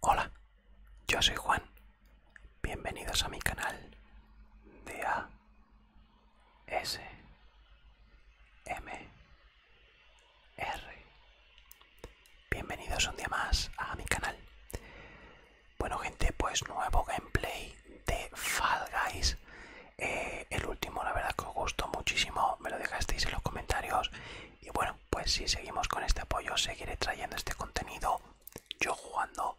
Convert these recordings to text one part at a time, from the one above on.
Hola, yo soy Juan. Bienvenidos a mi canal de A S M R. Bienvenidos un día más a mi canal. Bueno gente, pues nuevo gameplay de Fall Guys. Eh, el último la verdad que os gustó muchísimo, me lo dejasteis en los comentarios. Y bueno, pues si seguimos con este apoyo, seguiré trayendo este contenido. Yo jugando,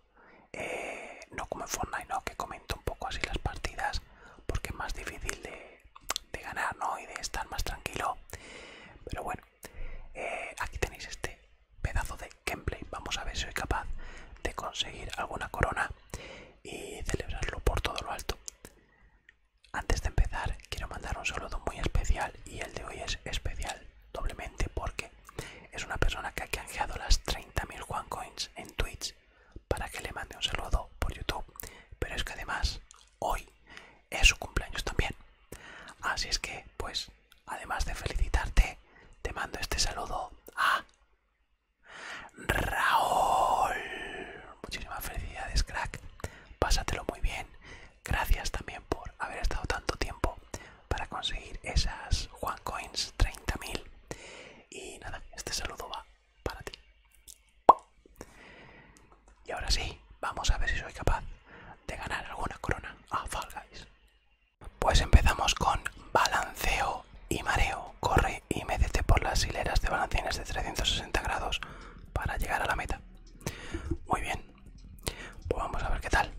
eh, no como en Fortnite, no, que comento un poco así las partidas, porque es más difícil de, ganar, ¿no? Y de estar más tranquilo. Pero bueno, eh, aquí tenéis este pedazo de gameplay. Vamos a ver si soy capaz de conseguir alguna corona y celebrarlo por todo lo alto. Antes de empezar, quiero mandar un saludo muy especial y el de hoy es especial doblemente porque es una persona que ha canjeado las 30.000 Coins en Twitch para que le mande un saludo por YouTube. Pero es que además hoy es su cumpleaños también. Así es que, pues Además, de felicitarte, te mando este saludo a Raúl. Muchísimas felicidades, crack. Pásatelo muy bien. Gracias también por haber estado tanto tiempo para conseguir esas Juan Coins 30.000. Y nada, este saludo va para ti. Y ahora sí, vamos a ver si soy capaz de ganar alguna corona a ah, Fall Guys. Pues empezamos con balanceo y mareo. Corre y métete por las hileras de balancines de 360 grados para llegar a la meta. Muy bien, pues vamos a ver qué tal.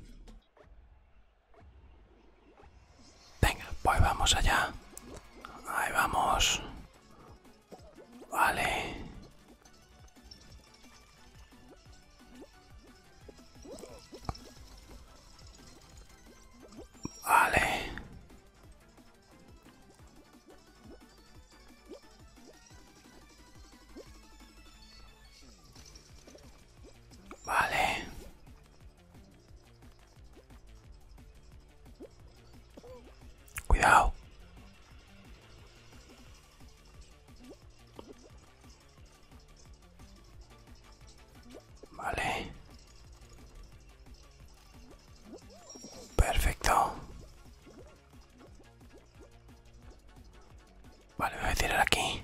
Venga, pues vamos allá. Ahí vamos. Vale. Vale. Vale. Cuidado. Vale. Perfecto. Vale, voy a tirar aquí.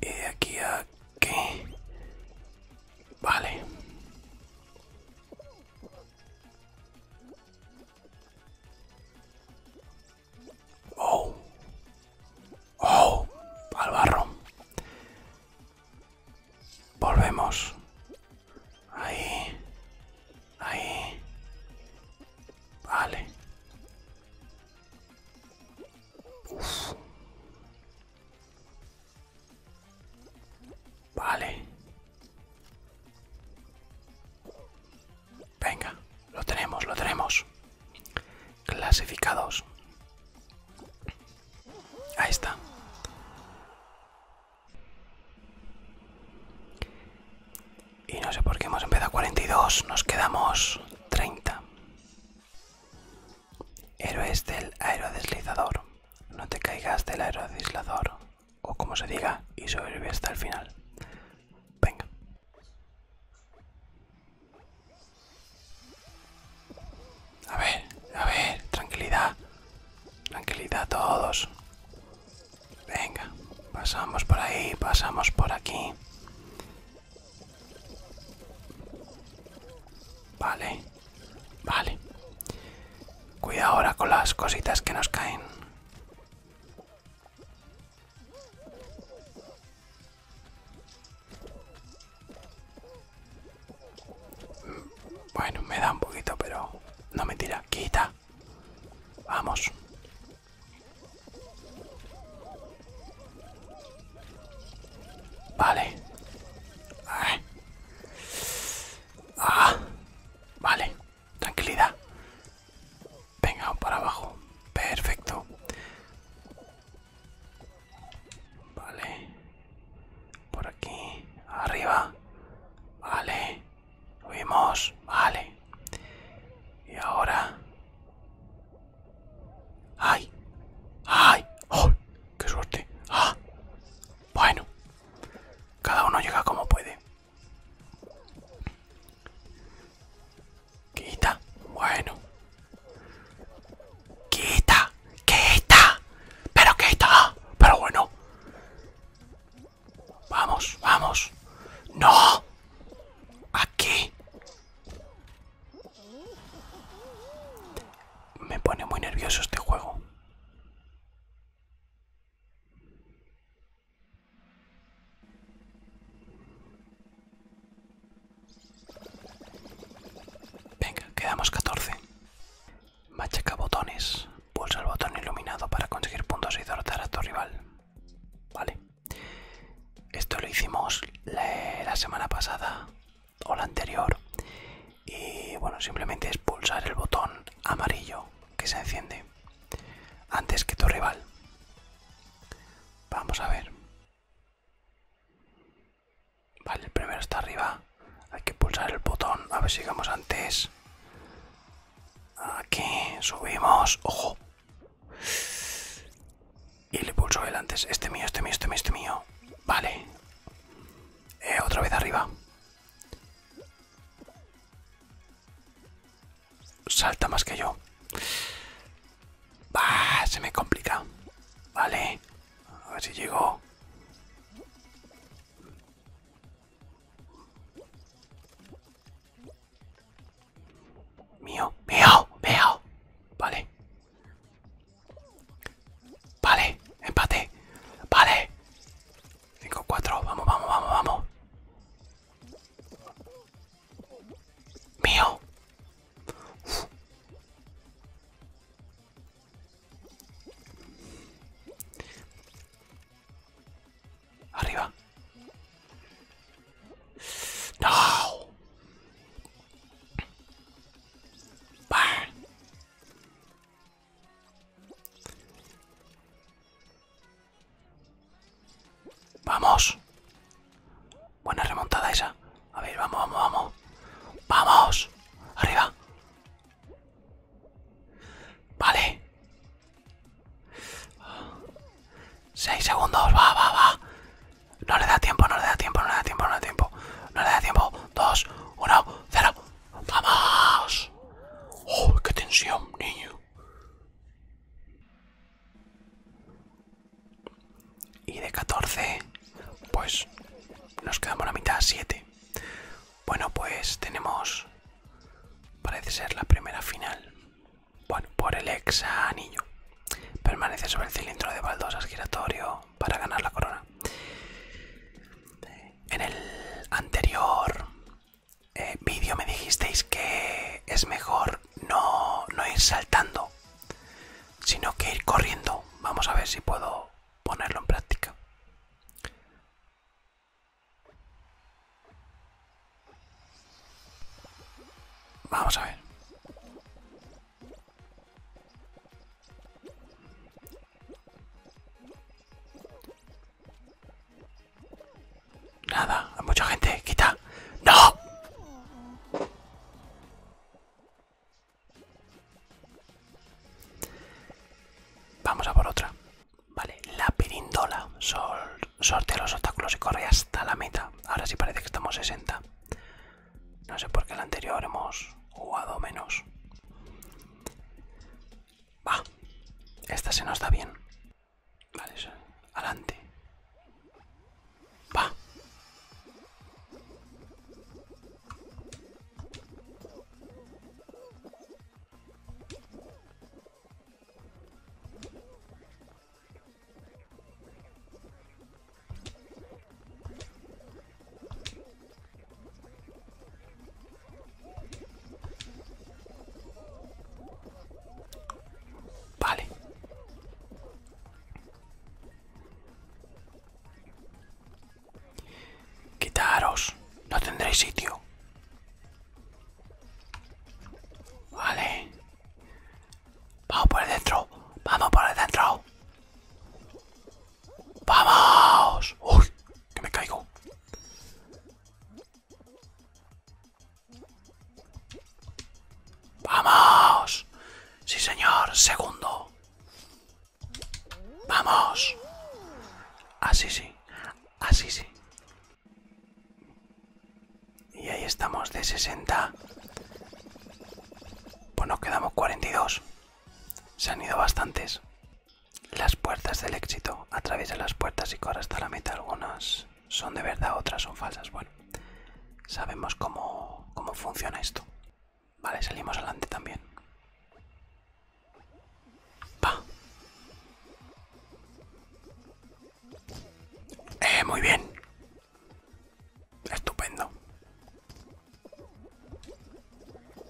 Y de aquí a aquí. Vale. Oh. Oh. Al barro. Volvemos. Ahí. Ahí. Vale. Vale. Venga, lo tenemos, lo tenemos. Clasificados. Ahí está. Y no sé por qué hemos empezado 42, nos quedamos 30. Héroes del aerodeslizador. No te caigas del aerodeslizador, o como se diga, y sobrevive hasta el final. Venga. A ver, a ver, tranquilidad. Tranquilidad todos. Venga, pasamos por ahí, pasamos por aquí. Vale, vale. Cuida ahora con las cositas que nos caen. Bueno, me da un poquito, pero no me tira. Quita. Vamos. Vale. Ah. Vale. Tranquilidad. Venga, para abajo. Perfecto. Vale. Por aquí. Arriba. Vale. Subimos. Vale. Y ahora... ¡Ay! ¡Ay! ¡Oh! ¡Qué suerte! ¡Ah! Bueno. Cada uno llega como puede. Quita, bueno. Quita, quita. Pero quita, pero bueno. Vamos, vamos. No. Aquí. Me pone muy nervioso este juego. Venga, quedamos 14. Machaca botones. Pulsa el botón iluminado para conseguir puntos y derrotar a tu rival. Vale. Esto lo hicimos la semana pasada o la anterior. Y bueno, simplemente es pulsar el botón amarillo que se enciende antes que tu rival. Vamos a ver. Vale, el primero está arriba. Hay que pulsar el botón. A ver si llegamos antes. Aquí subimos. Ojo. Y le pulso el antes. Este mío, este mío, este mío, este mío. Vale. Eh, otra vez arriba salta más que yo. se me complica. Vale. A ver si llego. Mío, mío, mío. Vale. Vale, empate. Vale. 5, 4, vamos, vamos, vamos, vamos. Mío. Uf. Arriba. No. Vamos. Buena remontada esa. A ver, vamos, vamos, vamos. Vamos. Arriba. Vale. Seis segundos. Va, va, va. No le da tiempo, no le da tiempo, no le da tiempo, no le da tiempo. No le da tiempo. Dos, uno, cero. ¡Vamos! ¡Oh, qué tensión, niño! Y de 14, pues nos quedamos la mitad, 7. Bueno, pues tenemos, parece ser la primera final. Bueno, por el ex niño. Permanece sobre el cilindro de baldosas giratorio para ganar la corona. En el anterior eh, vídeo me dijisteis que es mejor no, no ir saltando, sino que ir corriendo. Vamos a ver si puedo ponerlo en práctica. Vamos a ver. Nada, hay mucha gente, quita. ¡No! Vamos a por otra. Vale, la pirindola. Sol, sortea los obstáculos y corre hasta la meta. Ahora sí parece que estamos 60. No sé por qué la anterior hemos jugado menos. Va, esta se nos da bien. Vale, adelante. Va. Vale. Quitaros, no tendréis sitio. Vale. Vamos por dentro, vamos por dentro. ¡Vamos! ¡Uy! ¡Que me caigo! ¡Vamos! Sí, señor. Segundo. ¡Vamos! Así sí. Así sí. Y ahí estamos de 60. Pues nos quedamos 42. Se han ido bastantes. Las puertas del éxito. a través de las puertas y corre hasta la meta. Algunas son de verdad, otras son falsas. Bueno, sabemos cómo, funciona esto. Vale, salimos adelante también. Eh, muy bien. Estupendo.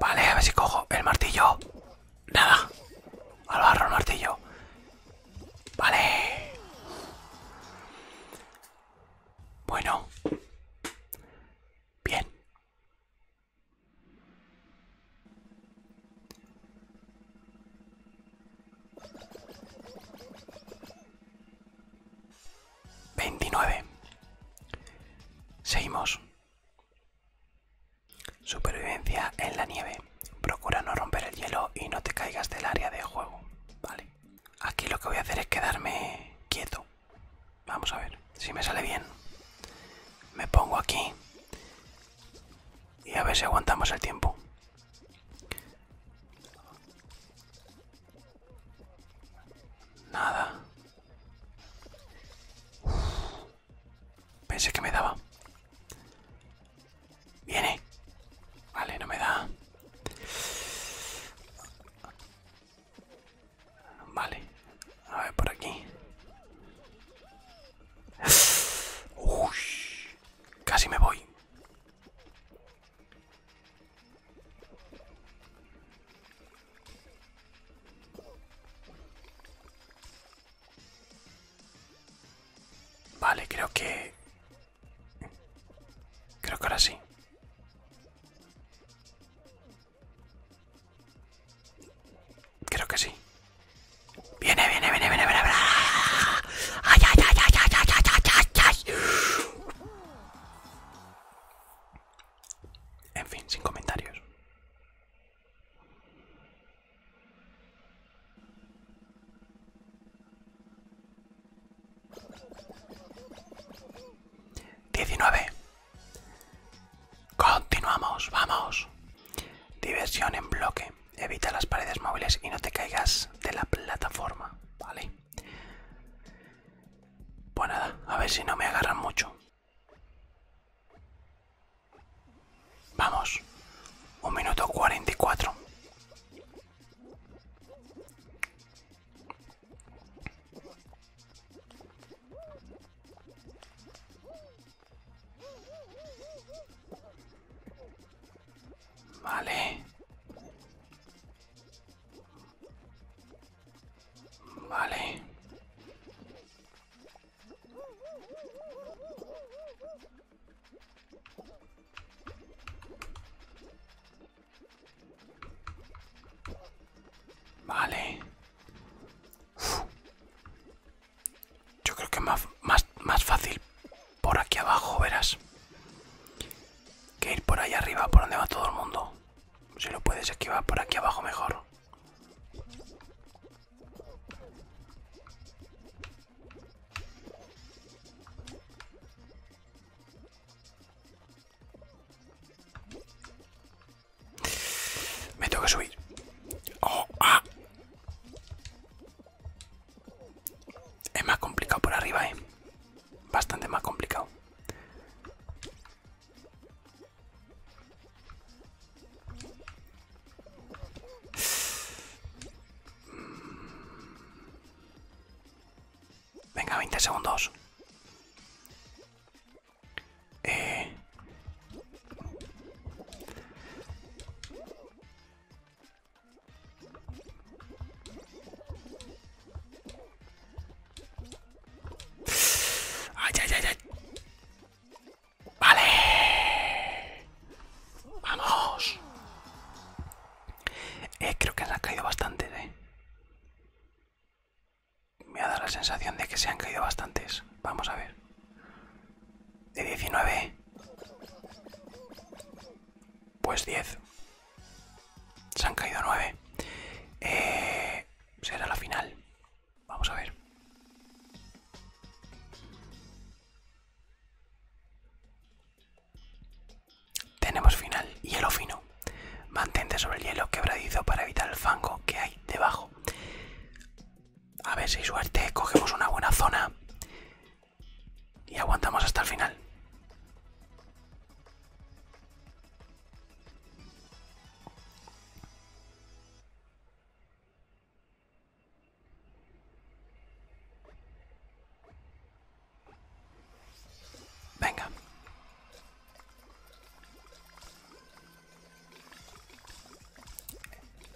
Vale, a ver si cojo el martillo. Nada. Al barro el martillo. Vale. Bueno. Bien. 29 Seguimos. Supervivencia en la nieve. Procura no romper el hielo y no te caigas del área de juego. Vale. Aquí lo que voy a hacer es quedarme quieto. Vamos a ver si me sale bien. Me pongo aquí. Y a ver si aguantamos el tiempo. Nada. Pensé que me daba. Viene. Vale, no me da. Vale. A ver por aquí. casi me voy. Vale, creo que... Creo que ahora sí. Creo que sí. Viene, viene, viene, viene, viene. Ay, ay, ay, ay, ay, ay, ay, ay. En fin, sin comentarios. 19 Continuamos, vamos. Diversión en bloque. Evita las paredes móviles y no te caigas de la plataforma, ¿vale? Pues nada, a ver si no me agarran mucho. Vamos, un minuto cuarenta y cuatro. Vale. Vale. Vale. Yo creo que más, más, más fácil por aquí abajo, verás. Que ir por ahí arriba, por donde va todo el mundo. Si lo puedes esquivar por aquí abajo mejor. Me tengo que subir. Oh, ah. Es más complicado por arriba, eh. Bastante más complicado. Venga, 20 segundos. Eh... Ay, ay, ay, Vale. Vamos. Eh, creo que se han caído bastantes, eh. Me ha dado la sensación de que se han caído bastantes. Vamos a ver. De 19. Pues 10. Se han caído nueve. Eh, será la final. Vamos a ver. Tenemos final. Hielo fino. Mantente sobre el hielo quebradizo para evitar el fango que hay debajo. A ver si suerte. Cogemos una buena zona. Y aguantamos hasta el final. Venga.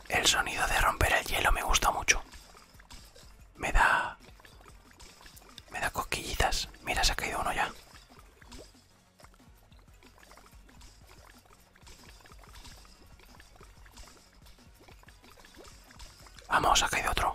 El sonido de romper el hielo me gusta mucho me da me da cosquillitas mira se ha caído uno ya vamos ha caído otro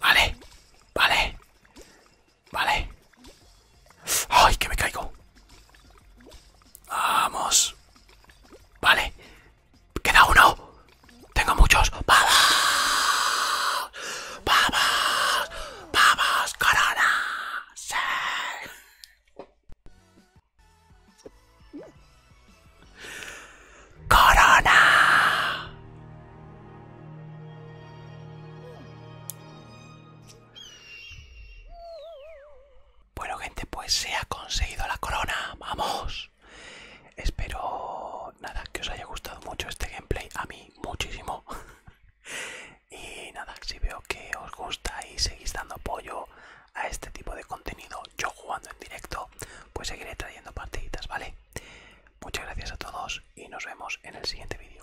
Vale, vale, vale. ¡Ay, que me caigo! Vamos. Vale. Queda uno. Tengo muchos. ¡Vamos, Corona! ¡Corona! Bueno, gente, pues se ha conseguido la corona. ¡Vamos! Espero, nada, que os haya gustado mucho este gameplay. A mí, muchísimo. Y nada, si veo que os gusta y seguís dando apoyo a este tipo de contenido, yo jugando en directo, pues seguiré trayendo partiditas, ¿vale? Muchas gracias a todos y nos vemos en el siguiente vídeo.